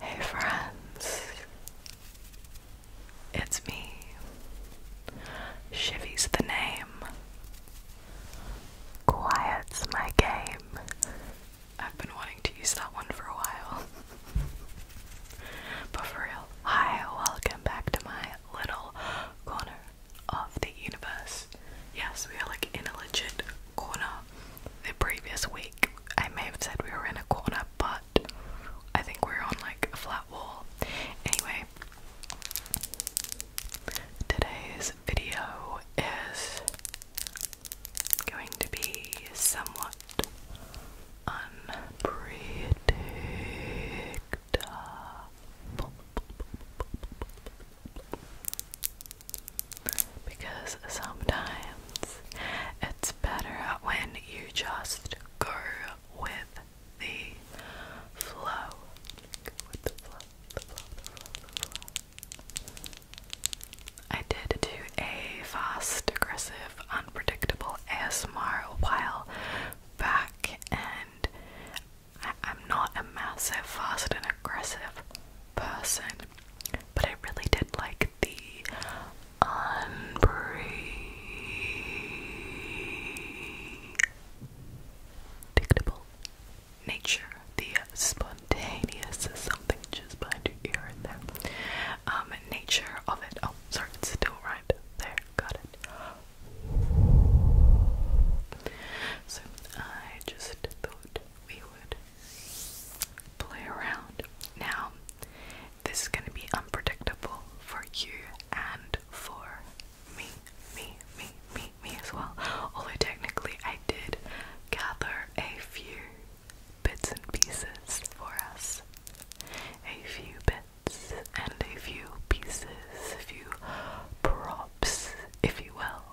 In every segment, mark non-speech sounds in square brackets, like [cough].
Hey friends, it's me. Shivy's the name. Quiet's my game. I've been wanting to use that one for a while. [laughs] but for real, hi, welcome back to my little corner of the universe. Yes, we are like in a legit corner. The previous week, I may have said we were in a corner, but I think we're on like a flat wall. Anyway, today's video is it's going to be somewhat unpredictable because sometimes it's better when you just go with the flow. I did do a fast, aggressive, unpredictable ASMR a while back, and I am not a massive, fast, and aggressive person, but I really did like the unpredictable nature, the spun something just behind your ear there. Um, nature of it. Oh, sorry, it's still right there. Got it. So I just thought we would play around. Now, this is gonna be unpredictable for you and for me, me, me, me, me as well. Although technically I did gather a few bits and pieces for us. A few bits and a few pieces, a few props, if you will.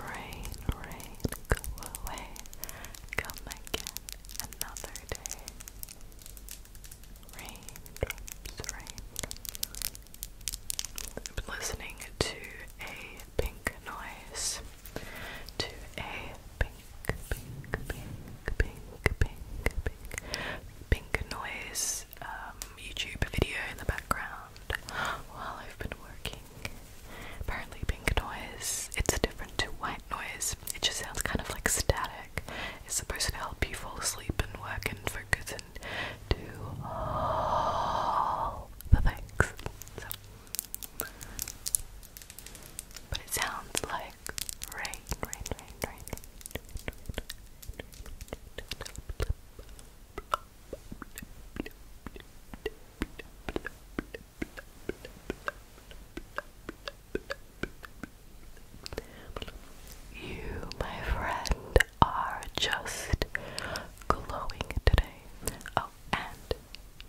Rain, rain, go away, come again another day. Raindrops, raindrops, I've been listening to a pink noise. To a pink, pink, pink, pink, pink, pink, pink noise um, YouTube video in the background while I've been working. Apparently, pink noise, it's different to white noise. It just sounds kind of like static. It's supposed to help you fall asleep and work and focus and do all the But it sounds like rain, rain, rain, rain. You, my friend, are just glowing today. Oh, and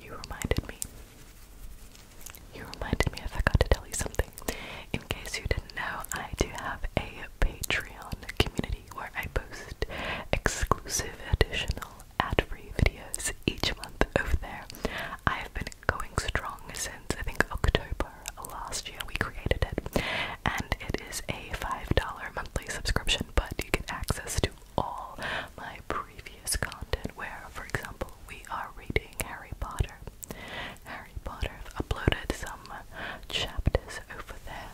you reminded me. You reminded me I forgot to tell you something. In case you didn't know, I do have a Patreon community where I post exclusive additional ad-free videos each month over there. I have been going strong since I think October last year we created it. And it is a $5 monthly subscription, but you get access to all my previous content where, for example, we are reading Harry Potter. Harry Potter, I've uploaded some chapters over there.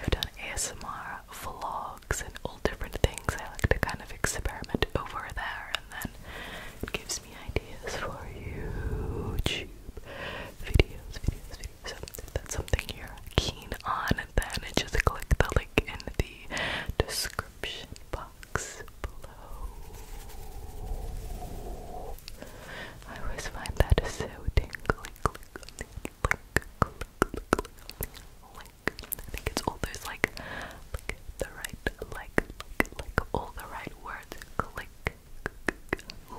I've done ASMR vlogs and all different things. I like to kind of experiment over there and then it gives me ideas for YouTube videos, videos, videos. So that's something you're keen on, then just click the link in the description box below. I always find that so tingly. Click, click, click, click, click, click, I think it's all those like, the right, like, like, all the right words. click,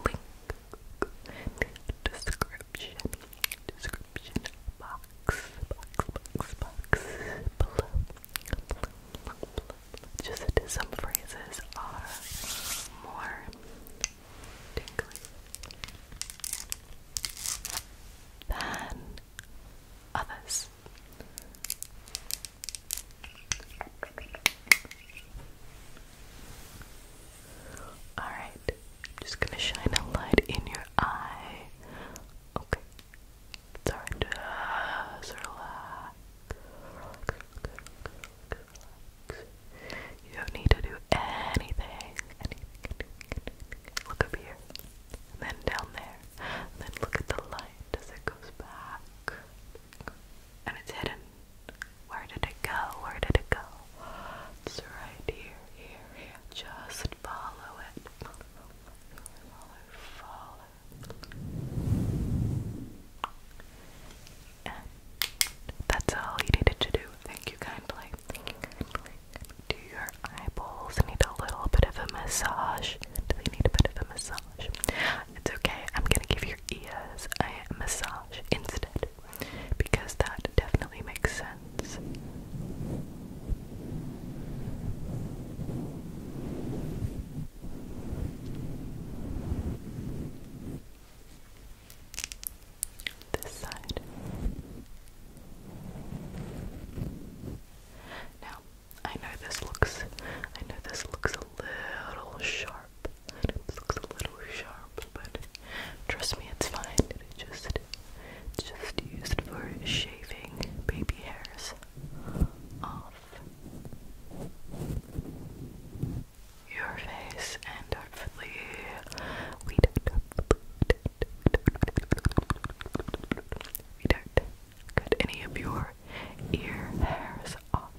link, description description, description box, box, box, box, below, Just some phrases are more tingly than others. All right, I'm just gonna shine a light in your eye. Okay. It's alright. relax. You don't need to do anything. Look up here. then down there. then look at the light as it goes back. And it's hidden. Where did it go? Where did it go? It's right here, here, here. Just follow it. Follow, follow, And that's all you needed to do. Thank you kindly. Do your eyeballs need a little bit of a massage? Do they need a bit of a massage? It's okay. I'm gonna give your ears a massage instead because that definitely makes sense. This side. Now, I know this looks I know this looks a little sharp it looks a little sharp, but trust me, it's fine. It just, just used for shaving baby hairs off your face, and hopefully we don't, we don't cut any of your ear hairs off.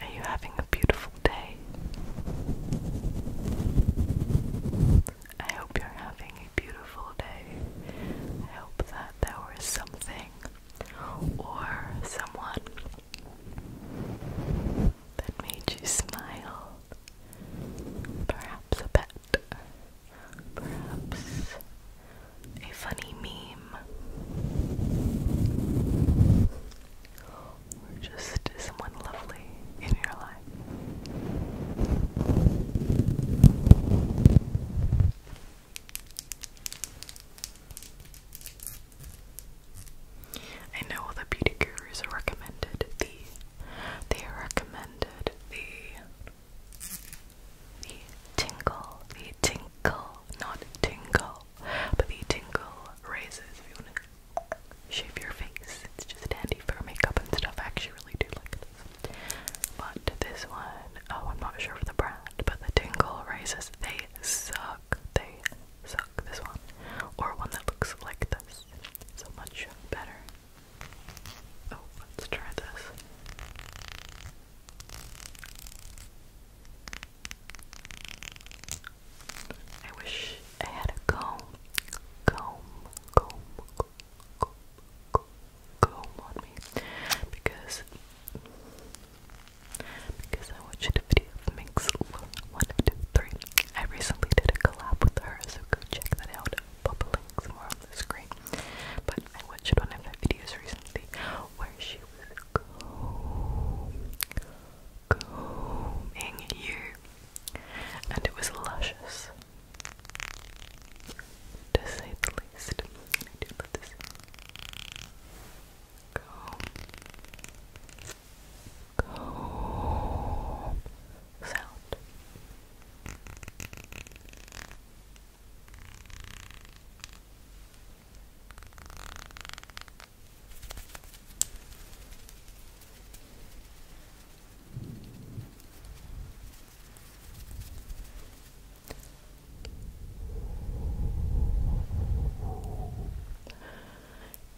Are you having a beautiful day? I hope you're having a beautiful day. I hope that there was something or someone that made you smile. Perhaps a pet perhaps a funny meme, or just someone lovely in your life. I know all the beauty gurus recommended the they recommended the the tingle, the tinkle, not tingle, but the tingle raises if you want to shave your face. It's just handy for makeup and stuff. I actually really do like this. But this one, oh, I'm not sure of the brand, but the tingle raises, they suck. They suck. This one, or one that looks like this, so much better. Oh, let's try this. I wish I had a comb, comb, comb, comb, comb, comb, on me because because I watched a video of Minx one, two, three. I recently did a collab with her, so go check that out. Pop a link somewhere on the screen. But I watched one of her videos recently where she was comb, combing and it was luscious, to say the least. And I sound.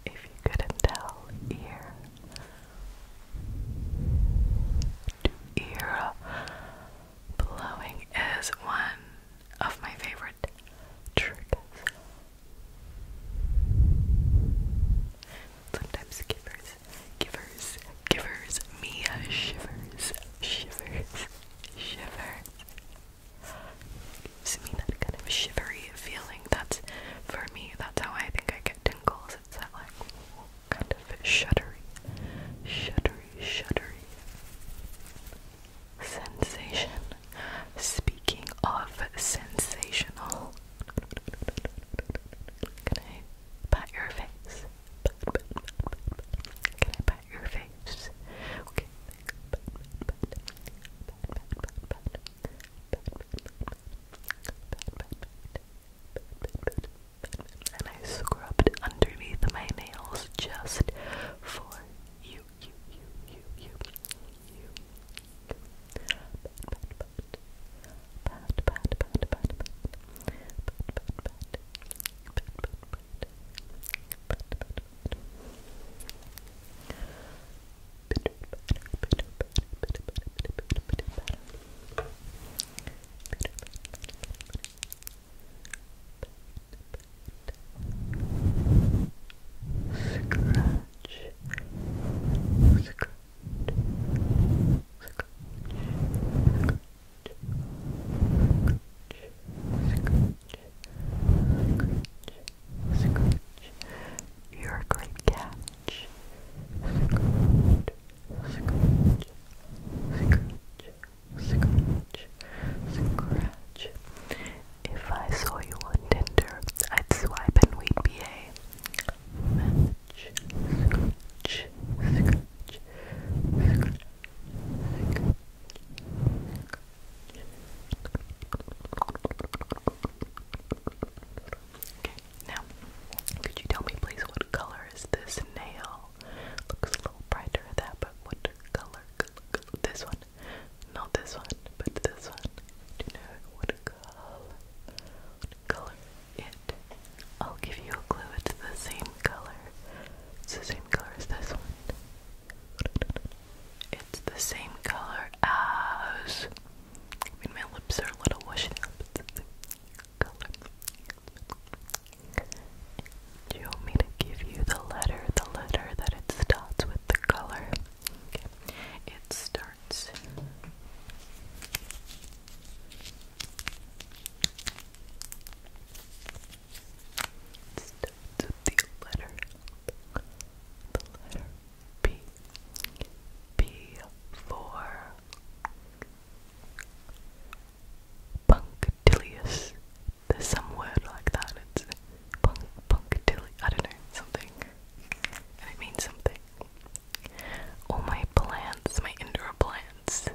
If you couldn't tell, ear to ear Blowing is one of my favorite triggers. Sometimes givers, givers, givers me shivers, shivers, shivers. Gives me that kind of shivery feeling. That's for me. That's how I think I get tingles. It's that like kind of shuddery, shuddery, shuddery sensation. Speaking of sensational, can I pat your face? Can I pat your face? and I scrubbed underneath my nails just for you, you, you, you, you, you. Scratch, scratch, scratch, scratch. Scratch, scratch, You're a great catch. Scratch, scratch, scratch, scratch, scratch. If I saw you on Tinder, I'd swipe and we'd be a match, now, could you tell me please what color is this nail? Looks a little brighter that, but what color? This one. Not this one, but this one. Do you know what color? What color it? I'll give you a clue. It's the same color. It's the same color as this one. It's the same color as. I mean, my lips are a little washed up. Do you want me to give you the letter, the letter that it starts with the color? It starts it starts with the letter the letter B B for Punctilious. There's some word like that. It's punk punctilious. I don't know, something. And it means something. All my plants, my indoor plants,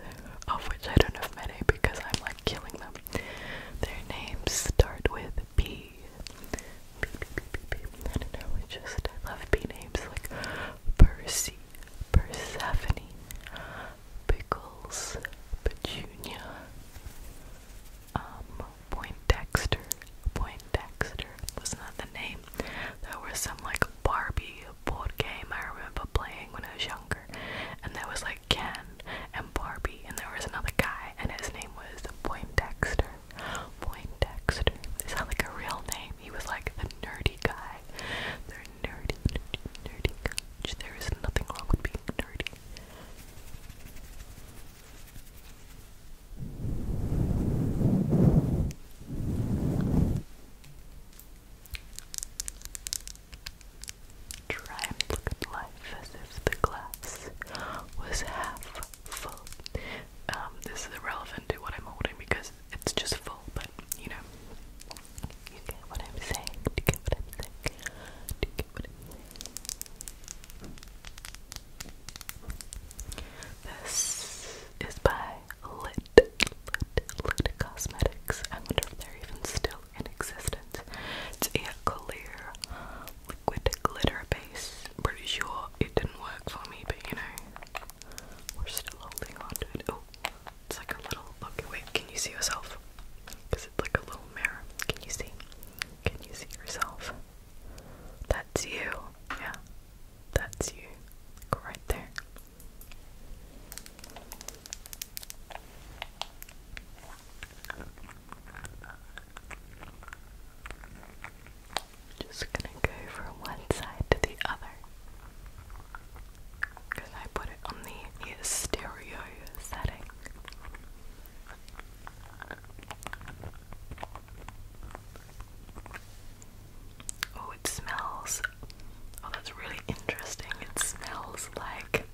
of which I don't have many because I'm like killing them. Their names start with B. B, B, B, B, B. I don't know, I just I love B names like Percy Persephone, Pickles, Petunia, um, Poindexter, Poindexter was not the name. There was some like Barbie board game I remember playing when I was younger, and there was like Ken and Barbie, and there was another guy, and his name was Poindexter. Poindexter. Is that like a real name? He was like the nerdy guy nerdy, nerdy, nerdy There is nothing wrong with being nerdy. Try and at life as if the glass was half full. Um, this is irrelevant to what I'm holding because it's just full, but you know, you get what I'm saying? Do you get what I'm saying? Do you get what I'm saying? This is by Lit, Lit, Lit Cosmetics. I wonder if they're even still in existence. It's a clear liquid glitter base. Pretty sure it didn't work for me, but you know, we're still holding on to it. Oh, it's like a little. Okay, wait. Can you see yourself? Because it's like a little mirror. Can you see? Can you see yourself? That's you. Yeah, that's you. Like right there. Just gonna go from one side to the other because I put it on the stereo setting. Oh, it smells. Oh, that's really interesting. It smells like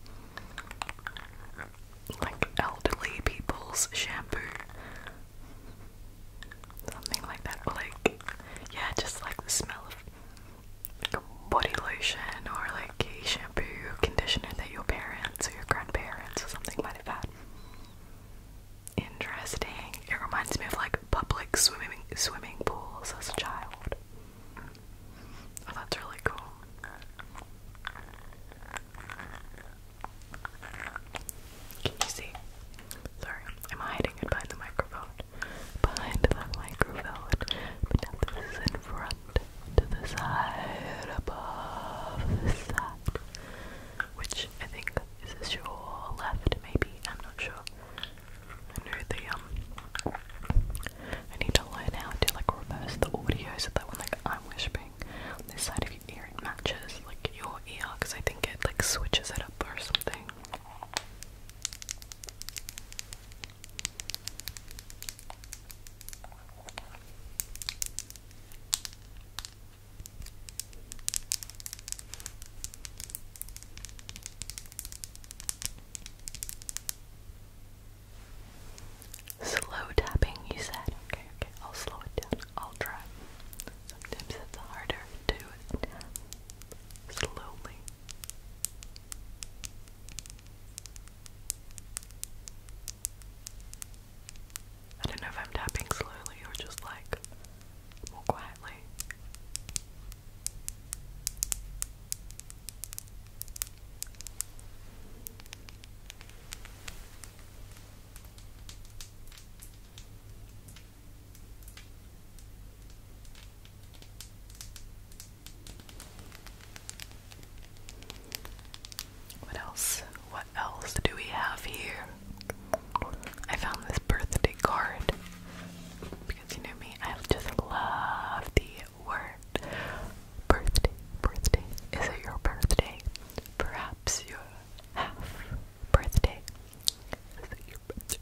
like elderly people's shampoo. Something like that, like, yeah, just like the smell of like a body lotion or like a shampoo conditioner that your parents or your grandparents or something might have had. Interesting. It reminds me of like public swimming swimming pools as a child. Oh, that's really cool. Can you see? Sorry, I'm hiding it behind the microphone. Behind the microphone. But now this is in front. To the side. Above the Which I think is this your left maybe? I'm not sure. I the um I need to learn how to like reverse the audio so that when like I'm whispering on this side of your ear it matches like your ear because I think it like switches it up or something. Slow tapping, you said. Okay, okay, I'll slow it down. I'll try. Sometimes it's harder to tap slowly. I don't know if I'm tapping slowly or just like more quietly. What else? What else do we have here? I found this birthday card because you know me, I just love the word birthday. Birthday. Is it your birthday? Perhaps your half birthday birthday?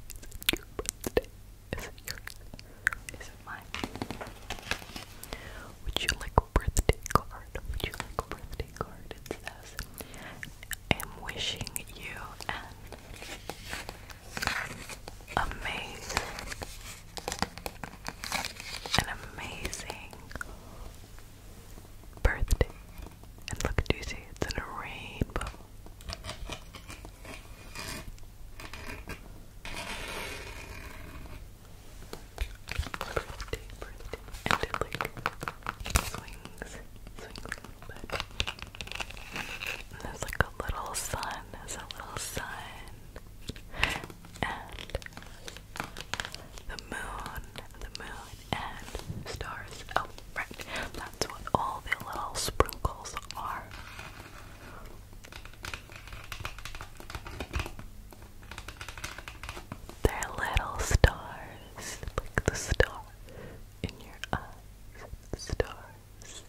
Is it your birthday? Is it yours? Is it mine? Would you like a birthday card? Would you like a birthday card? It says, I'm wishing you an amazing, an amazing birthday. look, do you see? It's in a rainbow birthday, birthday, and it like swings, swings a there's like a little sun, there's a little sun, and the moon, the moon, and stars. Oh, Right, that's what all the little sprinkles are. They're little stars, like the star in your eyes, stars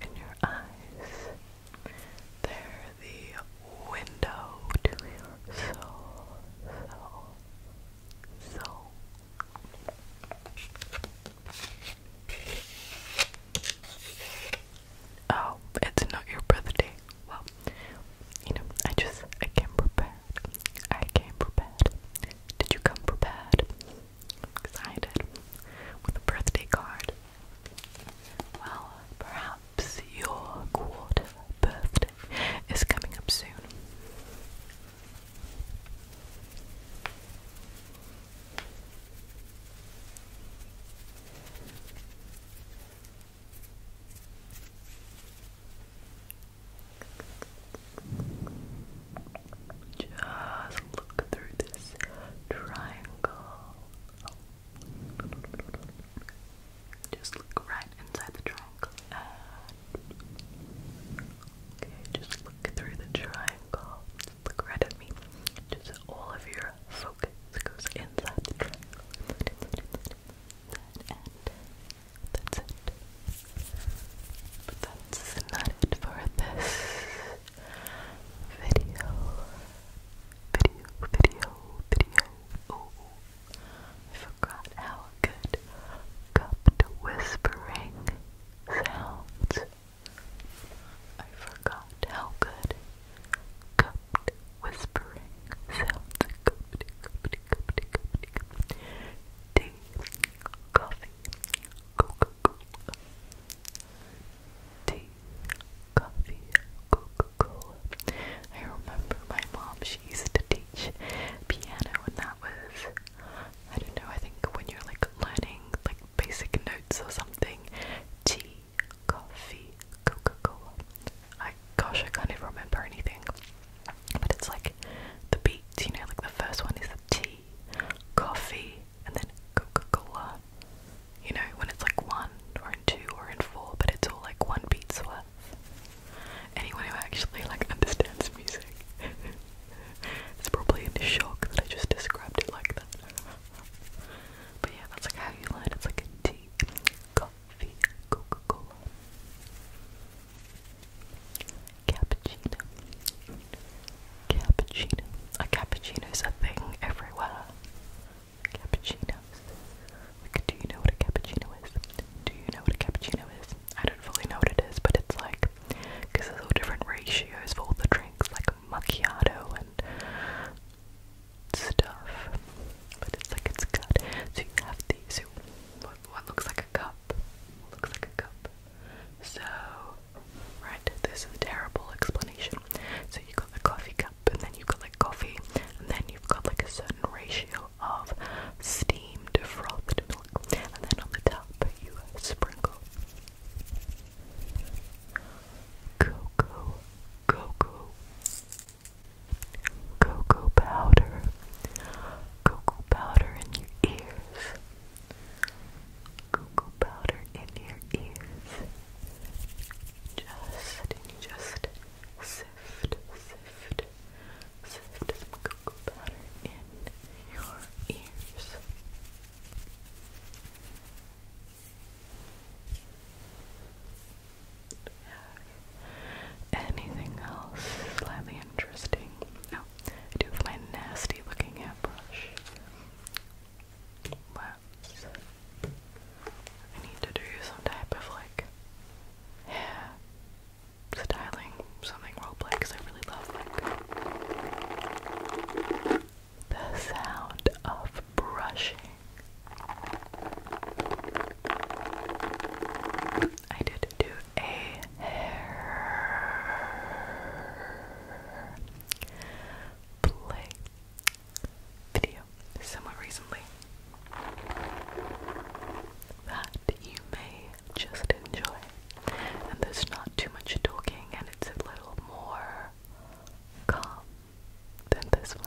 in your eyes. They're the window to your soul, soul, Oh, it's not your birthday. Well, you know, I just I came prepared. I came prepared. Did you come prepared? Excited with a birthday card. Well, perhaps your quarter birthday is coming up soon. Just look through this triangle. Just look right inside the triangle Okay, just look through the triangle. look right at me. Just all of your focus goes inside the triangle. Inside, inside, that's it. But that's not it for this video. Video, video, video. Oh, I forgot how good cup whispering sounds. I forgot how good cupped whispering sounds. Cupped, coffee, Coca-Cola. coffee, coca I remember my mom, she used to teach piano and that was I don't know, I think when you're like learning like basic notes or something, tea, coffee, Coca-Cola. I gosh, I can't even remember anything. But it's like the beat. you know, like the first one is the tea, coffee, and then Coca-Cola. You know, when it's like one or in two or in four, but it's all like one beat's worth anyone who actually like understands music. [laughs] it's probably in shock that I just described it like that. But yeah, that's like how you learn. It's like a tea, coffee, Coca-Cola, cappuccino, cappuccino. A cappuccino's a thing everywhere. Cappuccinos. Like, do you know what a cappuccino is? Do you know what a cappuccino is? I don't fully know what it is, but it's like because there's all different ratios for all the drinks, like macchiato and stuff. But it's like it's good. So you have these. So what, looks like a cup? Looks like a cup. So right, this is a terrible explanation. So you got the coffee cup, and then you've got like coffee, and then you've got like a certain ratio of steamed frothed and then on the top you sprinkle cocoa, cocoa, cocoa powder, cocoa powder in your ears, cocoa powder in your ears. Just just sift, sift, sift some cocoa powder in your ears. Anything else slightly interesting? No, do my nasty looking hairbrush. let I need to do some type of like hair styling something roleplay because I really love like the sound of brushing. I did do a hair play video somewhat recently that you may just enjoy. And there's not too much talking, and it's a little more calm than this one.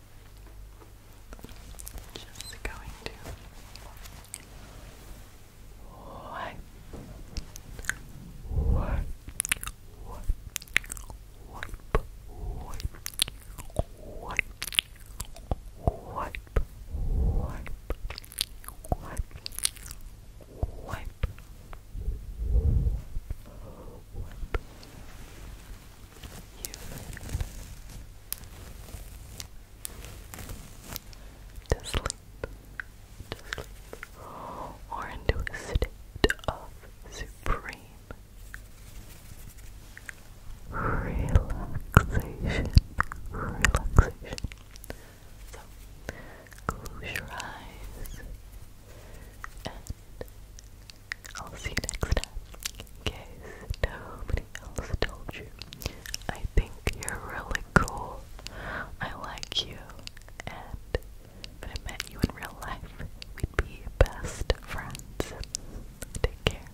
Just going to wipe, wipe, wipe, wipe, wipe, wipe, wipe, wipe, wipe, wipe. Wipe, wipe, wipe, to sleep, to sleep, or into a state of supreme relaxation, relaxation. So, close your eyes and I'll see you next time. In case nobody else told you, I think you're really cool. I like you. And if I met you in real life, we'd be best friends. Take care.